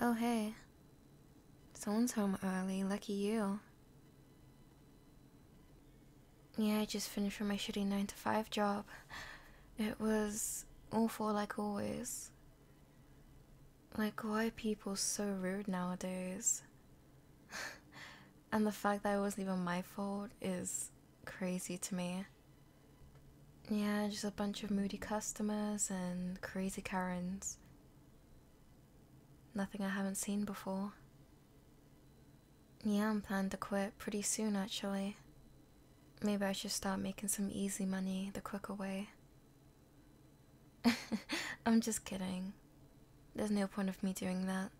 Oh, hey. Someone's home early. Lucky you. Yeah, I just finished from my shitty 9 to 5 job. It was awful, like always. Like, why are people so rude nowadays? and the fact that it wasn't even my fault is crazy to me. Yeah, just a bunch of moody customers and crazy Karens. Nothing I haven't seen before. Yeah, I'm planning to quit pretty soon actually. Maybe I should start making some easy money the quicker way. I'm just kidding. There's no point of me doing that.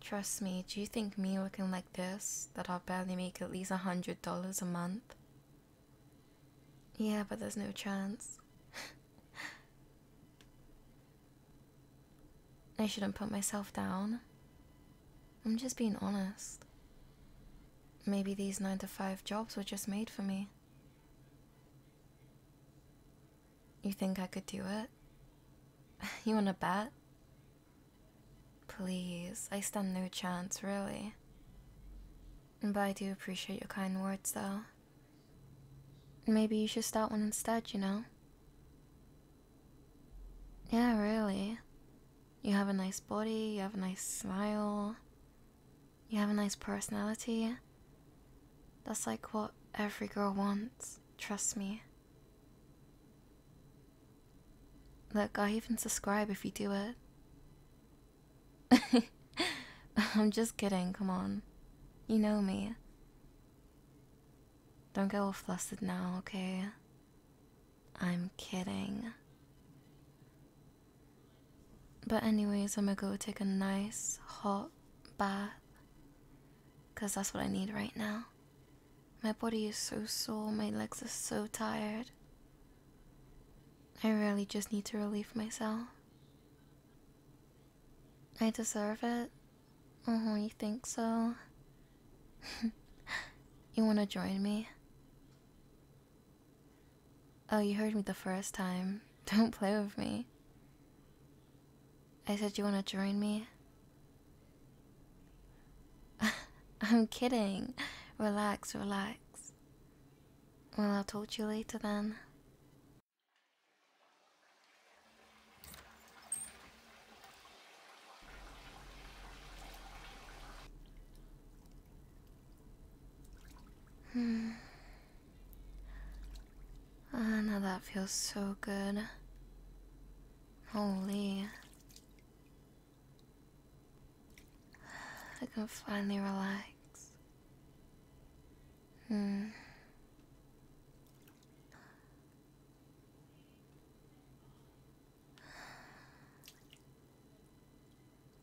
Trust me, do you think me looking like this, that I'll barely make at least a hundred dollars a month? Yeah, but there's no chance. I shouldn't put myself down. I'm just being honest. Maybe these 9 to 5 jobs were just made for me. You think I could do it? You wanna bet? Please, I stand no chance, really. But I do appreciate your kind words, though. Maybe you should start one instead, you know? Yeah, really. You have a nice body, you have a nice smile, you have a nice personality. That's like what every girl wants. Trust me. Look, i even subscribe if you do it. I'm just kidding, come on. You know me. Don't get all flustered now, okay? I'm kidding. But, anyways, I'm gonna go take a nice hot bath because that's what I need right now. My body is so sore, my legs are so tired. I really just need to relieve myself. I deserve it. Oh, you think so? you wanna join me? Oh, you heard me the first time. Don't play with me. I said you want to join me? I'm kidding. Relax, relax. Well, I'll talk to you later then. Hmm. Ah, now that feels so good. Holy. I can finally relax. Hmm.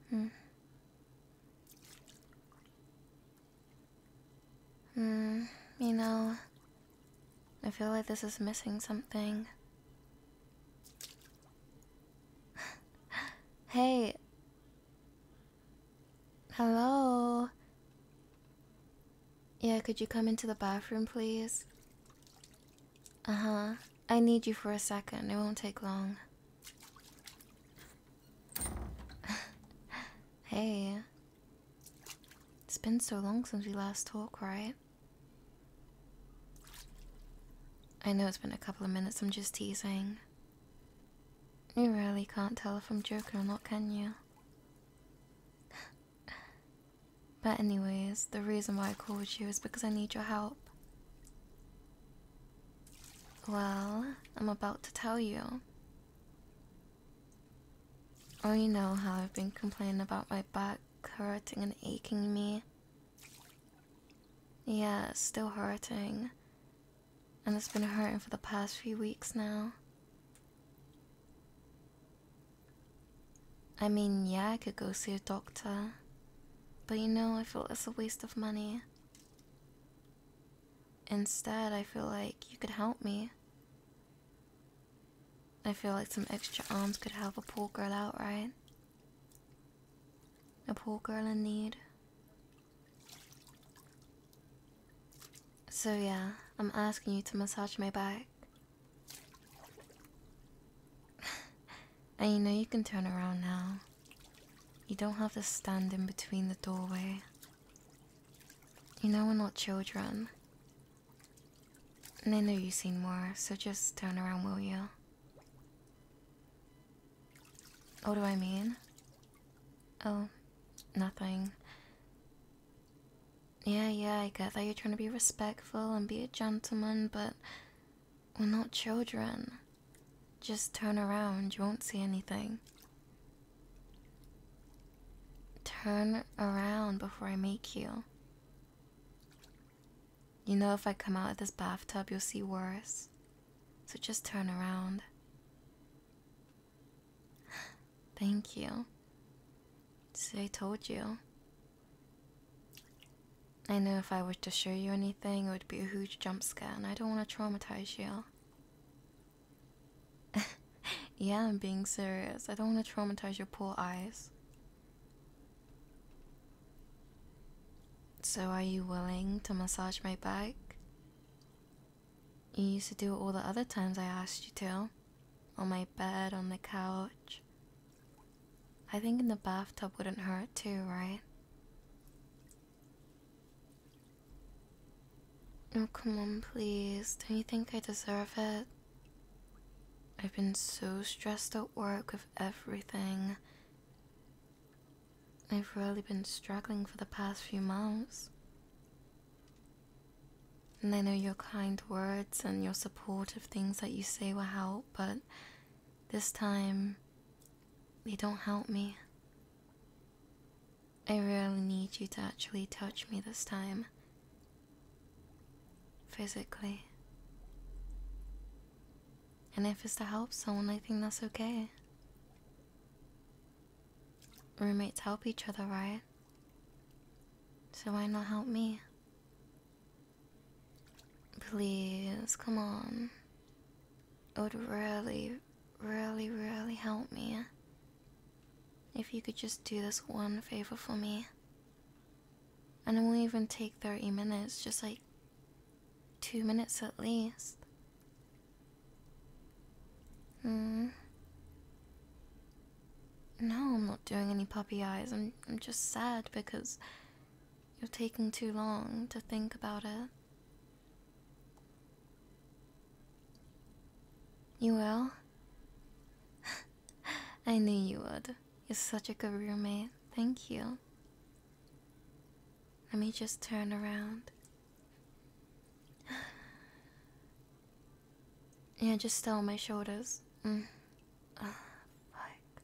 Hmm. Hmm, you know, I feel like this is missing something. hey. Hello. Yeah, could you come into the bathroom, please? Uh-huh. I need you for a second. It won't take long. hey. It's been so long since we last talked, right? I know it's been a couple of minutes, I'm just teasing. You really can't tell if I'm joking or not, can you? but, anyways, the reason why I called you is because I need your help. Well, I'm about to tell you. Oh, you know how I've been complaining about my back hurting and aching me. Yeah, it's still hurting. And it's been hurting for the past few weeks now. I mean, yeah, I could go see a doctor. But you know, I feel it's a waste of money. Instead, I feel like you could help me. I feel like some extra arms could help a poor girl out, right? A poor girl in need. So, yeah, I'm asking you to massage my back. and you know you can turn around now. You don't have to stand in between the doorway you know we're not children. And I know you've seen more, so just turn around, will you? What do I mean? Oh, nothing. Yeah, yeah, I get that you're trying to be respectful and be a gentleman, but we're not children. Just turn around, you won't see anything. Turn around before I make you. You know, if I come out of this bathtub, you'll see worse. So just turn around. Thank you. See, I told you. I know if I were to show you anything, it would be a huge jump scare, and I don't want to traumatize you. yeah, I'm being serious. I don't want to traumatize your poor eyes. So, are you willing to massage my back? You used to do it all the other times I asked you to. On my bed, on the couch. I think in the bathtub wouldn't hurt too, right? Oh, come on, please. Don't you think I deserve it? I've been so stressed at work with everything. I've really been struggling for the past few months. And I know your kind words and your supportive things that you say will help, but this time, they don't help me. I really need you to actually touch me this time. Physically. And if it's to help someone, I think that's okay. Roommates help each other, right? So why not help me? Please, come on. It would really, really, really help me if you could just do this one favor for me. And it won't even take 30 minutes, just like two minutes at least. Hmm. No, I'm not doing any puppy eyes. I'm, I'm just sad because you're taking too long to think about it. You will? I knew you would. You're such a good roommate. Thank you. Let me just turn around. Yeah, just stay on my shoulders. Mm. Oh, fuck.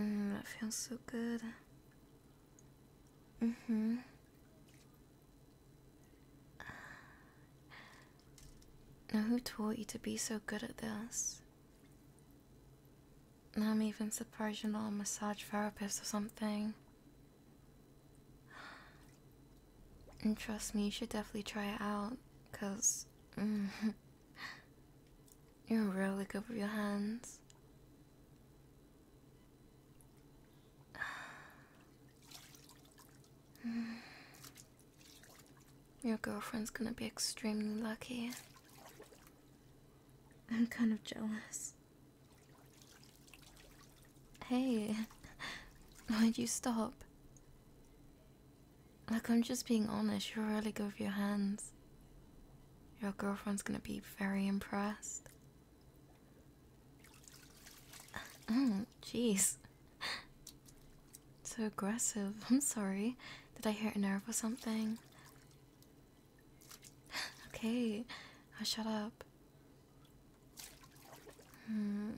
Mm, that feels so good. Mm-hmm. Now who taught you to be so good at this? Now I'm even surprised you're not a massage therapist or something. And trust me, you should definitely try it out, cause mm-hmm, you're really good with your hands. Your girlfriend's gonna be extremely lucky. I'm kind of jealous. Hey, why'd you stop? Like, I'm just being honest, you're really good with your hands. Your girlfriend's gonna be very impressed. Oh, jeez. So aggressive. I'm sorry. Did I hurt a nerve or something? okay, I oh, shut up. Hmm.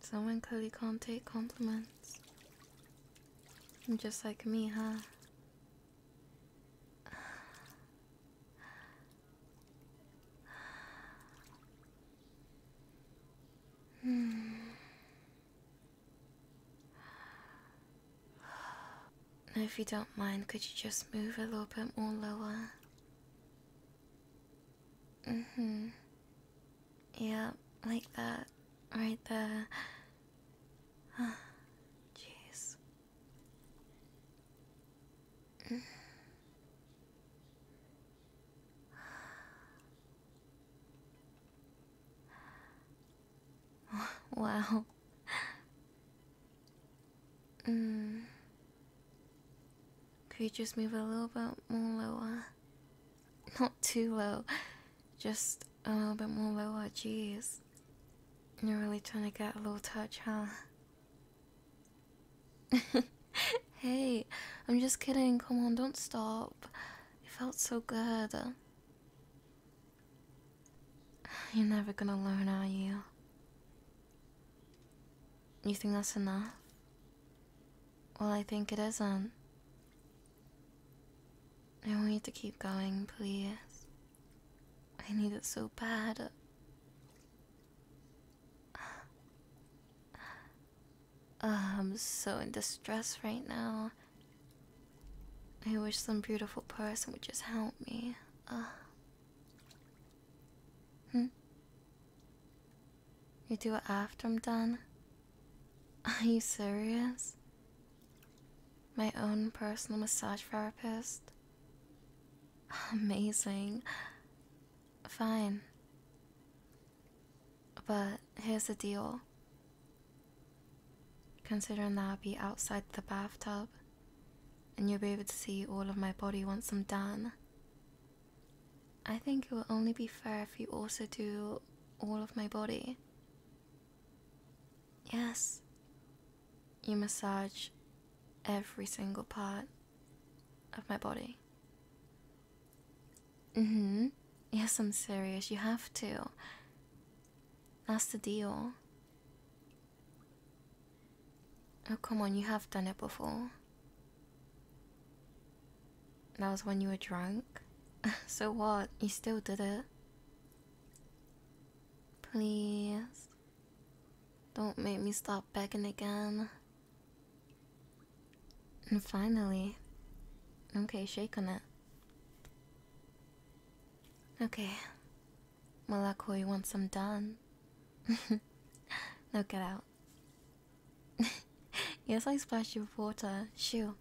Someone clearly can't take compliments. Just like me, huh? Hmm. Now, if you don't mind, could you just move a little bit more lower? Mm hmm. Yeah, like that. Right there. Jeez. wow. Mm. Could you just move a little bit more lower? Not too low, just a little bit more lower, jeez. You're really trying to get a little touch, huh? hey, I'm just kidding. Come on, don't stop. It felt so good. You're never gonna learn, are you? You think that's enough? Well, I think it isn't. I want you to keep going, please. I need it so bad. Ah, I'm so in distress right now. I wish some beautiful person would just help me. Ah. Hmm? You do it after I'm done? Are you serious? My own personal massage therapist? Amazing. Fine. But here's the deal. Considering that I'll be outside the bathtub, and you'll be able to see all of my body once I'm done, I think it will only be fair if you also do all of my body. Yes. You massage every single part of my body. Mm hmm. Yes, I'm serious. You have to. That's the deal. Oh, come on, you have done it before. That was when you were drunk. so what? You still did it? Please. Don't make me stop begging again. And finally. Okay, shake on it. Okay. Well, I once I'm done. now get out. yes, I splashed you with water. Shoo.